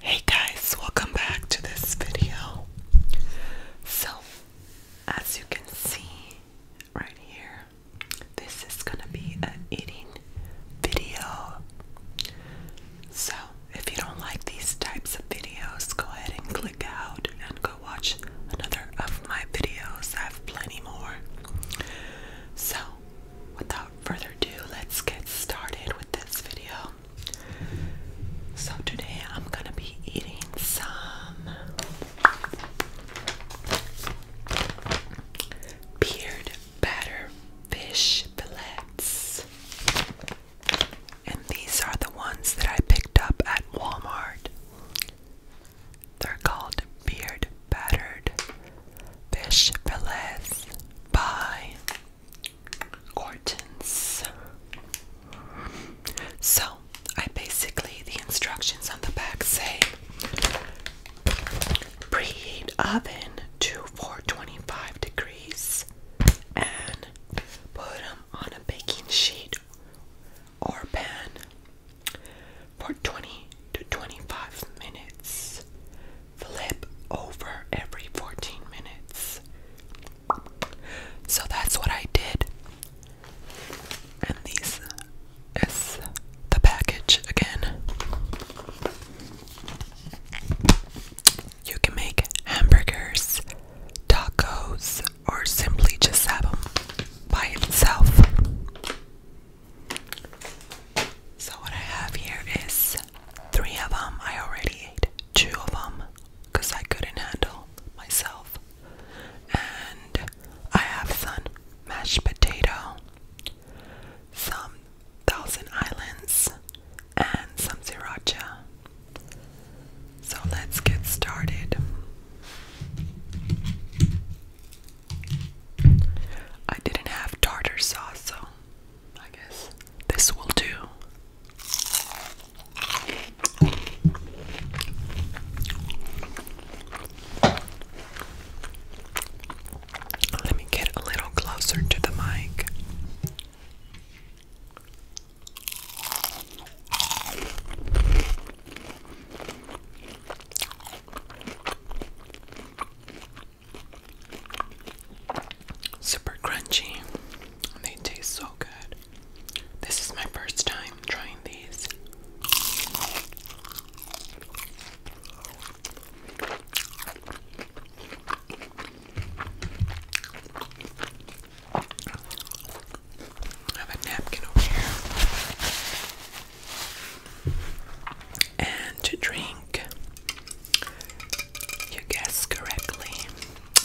Hey guys, welcome back to this video. So, as you can see right here, this is gonna be an eating video. So, if you don't like these types of videos, go ahead and click out and go watch another of my videos. I have plenty more. So, without further ado, let's get started with this video. So, today I'm gonna be eating some beard batter fish fillets. And these are the ones that I picked up at Walmart. They're called beard battered fish fillets by Gortons. So, I basically, the instructions on the back say preheat oven to 425 degrees and put them on a baking sheet or pan for 20 to 25 minutes. Flip over every 14 minutes. So that's what I did. And these is the package again. You can make hamburgers, tacos, or simply just have them by itself. So what I have here is three of them. I already ate two of them because I couldn't handle myself. And I have some mashed potato, some Thousand Islands, and some sriracha. So let's get started. I didn't have tartar sauce, so I guess this will do. Let me get a little closer to the mic. Super crunchy. They taste so good. This is my first time trying these. I have a napkin over here and to drink. You guessed correctly.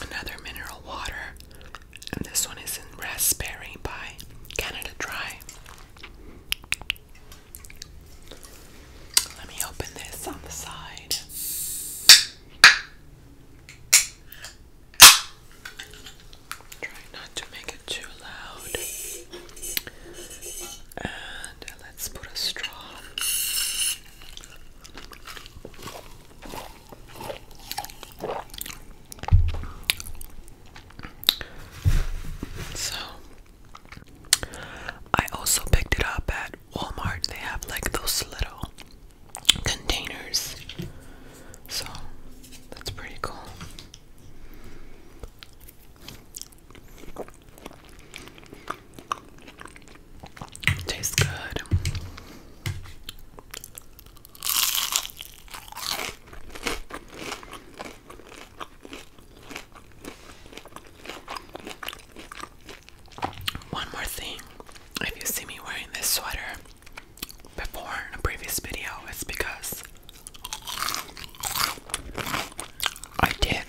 Another mineral water, and this one is in raspberry by Canada Dry. Let me open this on the side. Try not to make it too loud. And let's put a straw. So, I also picked it up at Walmart. They have like those little containers. So, that's pretty cool. Tastes good. One more thing if you see me wearing this sweater, before in a previous video it's because I did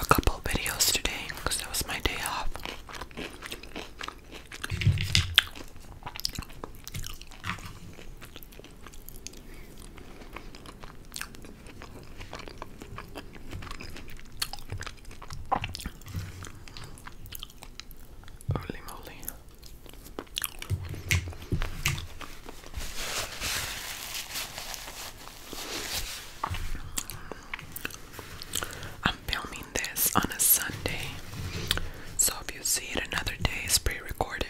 a couple videos today because that was my day off. Holy moly. I'm filming this on a Sunday, so if you see it another day, it's pre recorded.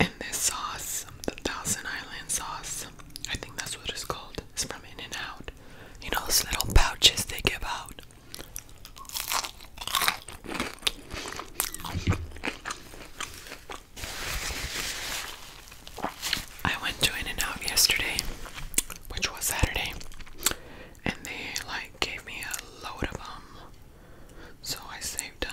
And this sauce, the Thousand Island sauce, I think that's what it's called. It's from In and Out. You know those little pouches they give out. I went to In and Out yesterday, which was Saturday, and they like gave me a load of them, so I saved them.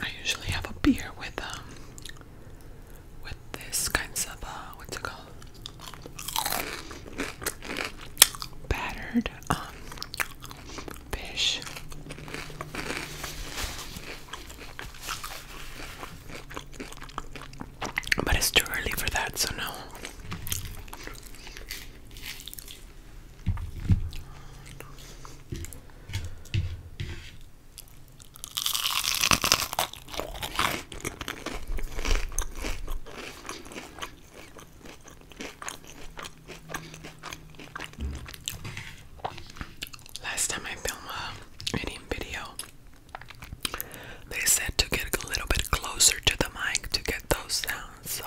I usually have a beer with um with this kinds of uh what's it called? Battered um fish. But it's too early for that, so no. Last time I filmed a uh, video, they said to get a little bit closer to the mic to get those sounds. So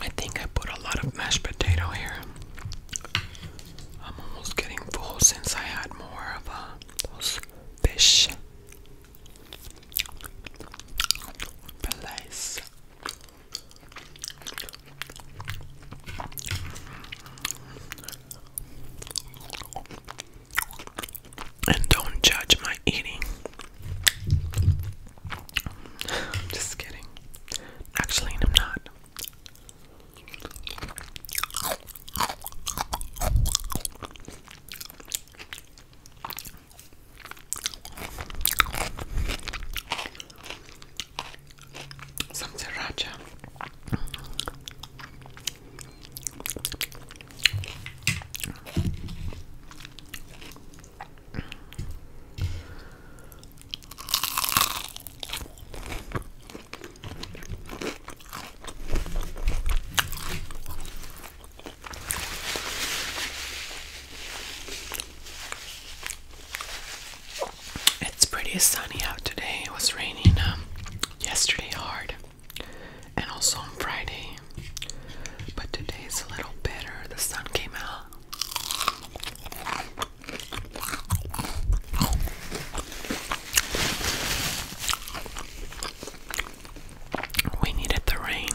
I think I put a lot of mashed potato here. I'm almost getting full since I had more of uh, those fish fillets. And don't judge my eating. just kidding. Actually, I'm not. Some sriracha. It's pretty sunny out today. It was raining um, yesterday hard, and also on Friday. But today's a little better. The sun came out. We needed the rain.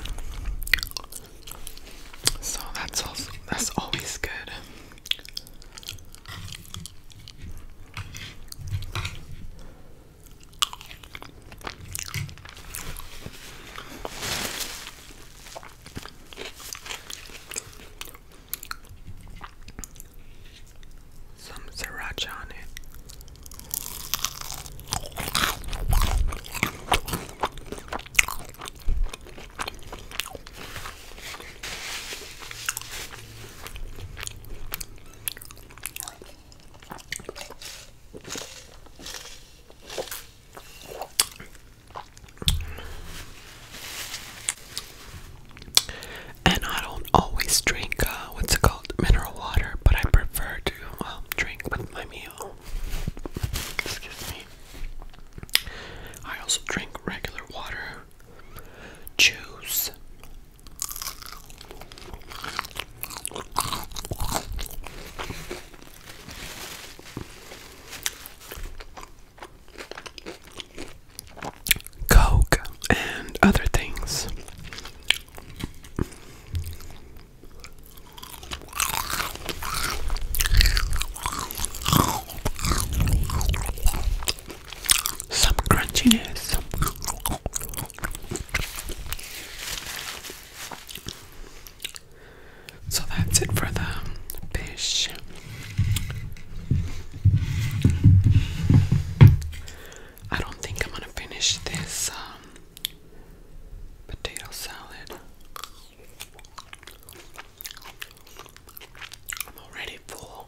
So that's always good. Some sriracha on it. And I don't always drink, uh, what's called, mineral water, but I prefer to, um, drink with my meal. Excuse me. I also drink regular water, juice. Coke and other things. Some crunchiness. So that's it for the fish. I don't think I'm gonna finish this um, potato salad. I'm already full.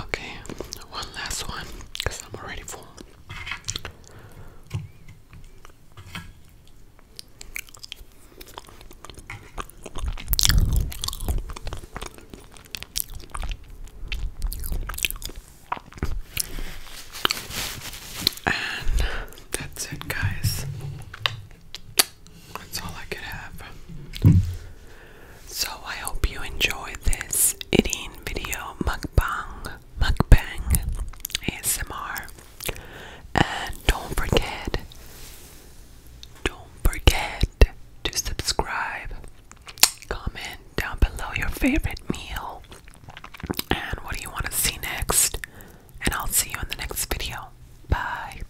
Okay, one last one because I'm already full. And that's it, guys. That's all I could have. So I hope you enjoyed this eating video mukbang, mukbang, ASMR. And don't forget, don't forget to subscribe, comment down below your favorite meal, and what do you want to see next. And I'll see you in the next video. Bye.